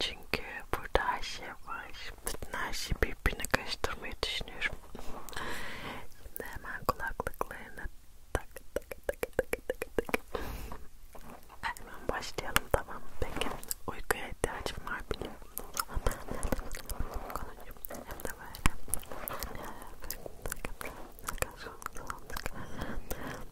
Çünkü burada her şey var. Bütün her şeyi birbirine karıştırmayı düşünüyorum. Şimdi hemen kulaklıklarını tak tak tak tak tak tak. Hemen başlayalım tamam. Peki uykuya ihtiyacım var benim. Hem de böyle.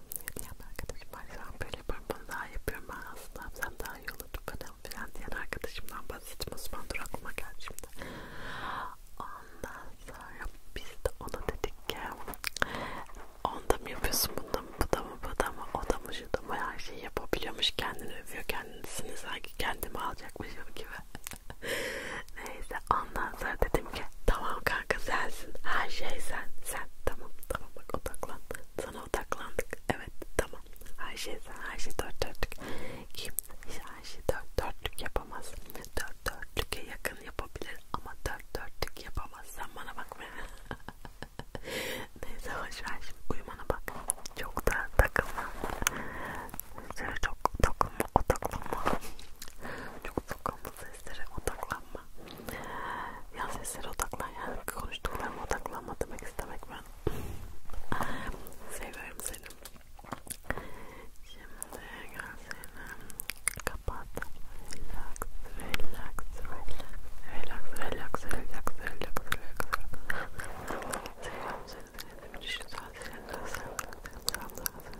Ya da arkadaşım var şu an böyle yaparım bunu daha yapıyorum ben aslında sen daha iyi olur kadın filan diyen arkadaşımdan basit musmandır aklıma geldi şimdi. Ondan sonra biz de ona dedik ki onda mı yapıyorsun bunda mı bu da mı bu da mı o da mı şu da mı her şeyi yapabiliyormuş kendini övüyor kendisini sanki kendimi alacakmış gibi. Neyse ondan sonra dedim ki tamam kanka sensin her şey sen sen tamam tamam bak odaklan sana odaklandık evet tamam her şey sen her şey dört dörtlük kim her şey dört dörtlük yapamaz dört dörtlüke yakın yapabilir ama dört dörtlük yapamaz sen bana bakma neyse hoşver şimdi uyumana bak çok da takılma çok takılma odaklanma çok takılması seslere odaklanma. Ya seslere odaklan yani konuştuklarıma odaklanma demek istemek ben. Seviyorum seni. Şimdi gözlerini kapat. Relax, relax, relax, relax, relax, relax, relax, relax, relax. Seviyorum seni. Benim için güzel. Senin gözlerini kapat.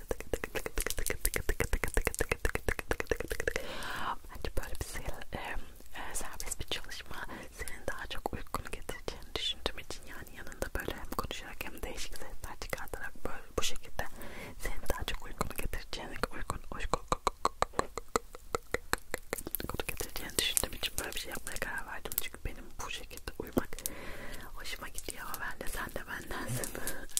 Bence böyle bir e, e, serbest bir çalışma senin daha çok uykunu getireceğini düşündüğüm için yani yanında böyle hem konuşarak hem değişik sesler çıkartarak böyle bu şekilde senin daha çok uykunu getireceğini uykun uyku uykunu getireceğini düşündüğüm için böyle bir şey yapmaya karar verdim çünkü benim bu şekilde uyumak hoşuma gidiyor ben de sen de bendensin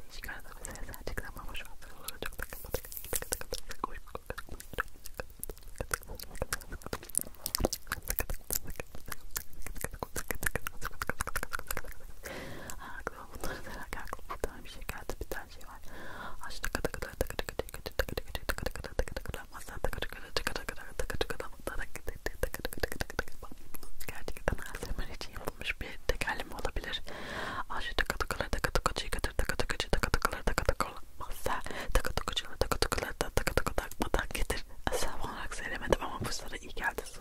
Değişik arada bir ses gerçekten ama şu anda olur. Çok da kapatık. Aklıma bunları derken aklıma bir şey geldi. Bir her şey var. Aç tıkı tıkı tıkı tıkı tıkı tıkı tıkı tıkı tıkı tıkı tıkı tıkı tıkı tıkı masa tıkı tıkı tıkı tıkı tıkı tıkı tıkı Gerçekten ASMR için yapılmış bir tekerleme olabilir. Aşı tıkı tıkıları tıkı tıkıcıyı götür tıkı tıkıcı tıkı tıkıları tıkı tıkılı masa tıkı tıkıcıları tıkı tıkıları tıkı tıkı takmadan getir. Asıl olarak söylemedim ama bu sıra iyi geldi.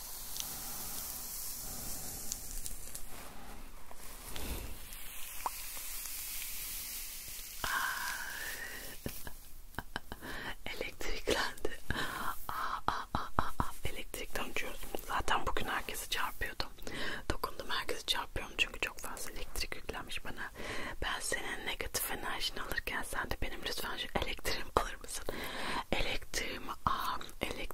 Ah. Elektriklendi. Aa, ah, aa, ah, aa, aa. Elektrikten uçuyoruz. Zaten bugün herkesi çarpıyordum. Dokundum herkesi çarpıyorum çünkü çok fazla elektrik yüklenmiş bana. Ben senin negatif enerjini alırken sen de benim lütfen şu elektriğimi alır mısın? Elektriğimi al. Elektriğimi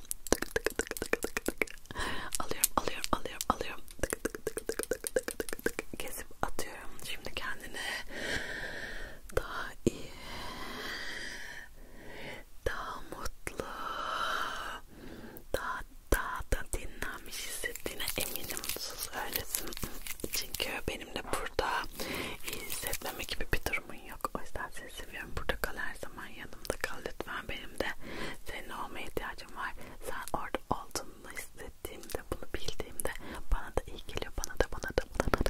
alıyorum. Tık tık tık tık tık tık. Alıyorum, alıyorum, alıyorum, alıyorum. Tık tık tık tık tık tık tık tık. Kesip atıyorum. Şimdi kendini daha iyi, daha mutlu, daha daha da dinlenmiş hissettiğine eminim. Sus öylesin. Çünkü benim de burada iyi hissetmeme gibi bir durumun yok. O yüzden seni seviyorum. Burada kal her zaman yanımda kal lütfen. Benim de senin olmaya ihtiyacım var. Sen orada olduğunu hissettiğimde, bunu bildiğimde bana da iyi geliyor. Bana da bana da bana da.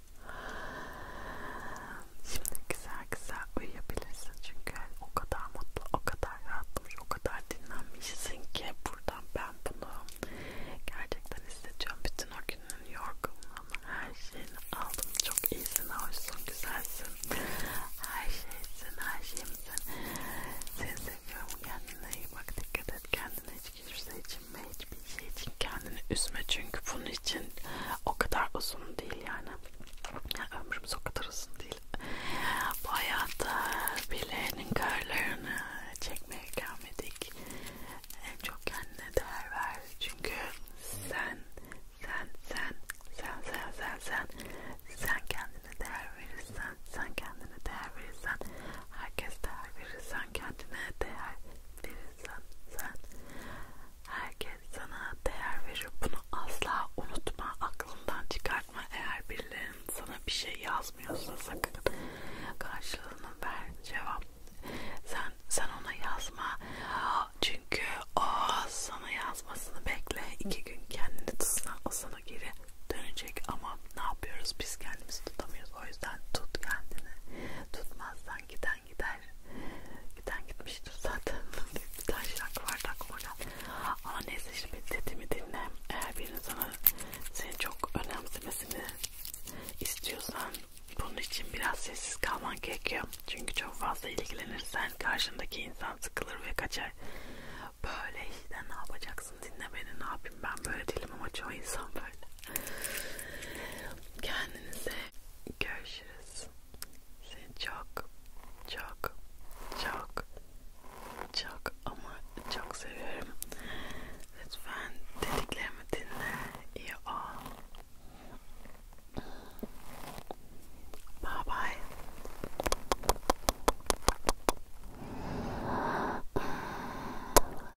Şimdi güzel güzel uyuyabilirsin çünkü o kadar mutlu, o kadar rahatlamış, o kadar dinlenmişsin ki buradan ben bunu gerçekten hissediyorum. Bütün o günün yorgunluğunu, her şeyini aldım. Çok iyisin, hoşsun, güzelsin. Her şeysin, her şeyimsin. Seni seviyorum. Kendine iyi bak, dikkat et kendine. Hiç kimse hiç Düşünme hiçbir şey için kendini üzme çünkü bunun için o kadar uzun değil yani. yani ömrümüz o kadar uzun değil. Bu hayatta birilerinin karlarını çekmeye gelmedik. En çok kendine değer ver çünkü sen sen sen sen sen sen sen sen kendine değer verirsen sen kendine değer verirsen herkes değer verir sen kendine değer verirsen sen herkes sana değer verir. Bunu asla unutma. Aklından çıkartma. Eğer birilerinin sana bir şey yazmıyorsa sakın karşılığını ver. Cevap sen sen ona yazma. Çünkü o sana yazmasını bekle. iki gün kendini tutsan o sana geri dönecek ama ne yapıyoruz biz kendimizi tutamıyoruz. O yüzden tut kendini. Tutmazsan gider giden gider. Giden gitmiştir zaten. bir tane şarkı vardı aklıma geldi. Ama neyse şimdi dediğimi dinle. Eğer birinin sana seni çok önemsemesini istiyorsan bunun için biraz sessiz kalman gerekiyor. Çünkü çok fazla ilgilenirsen karşındaki insan sıkılır ve kaçar. Böyle işte ne yapacaksın dinle beni ne yapayım ben böyle değilim ama çoğu insan böyle. Kendinize görüşürüz. Seni çok çok çok çok ama çok seviyorum. Lütfen dediklerimi dinle. İyi ol. Bye bye.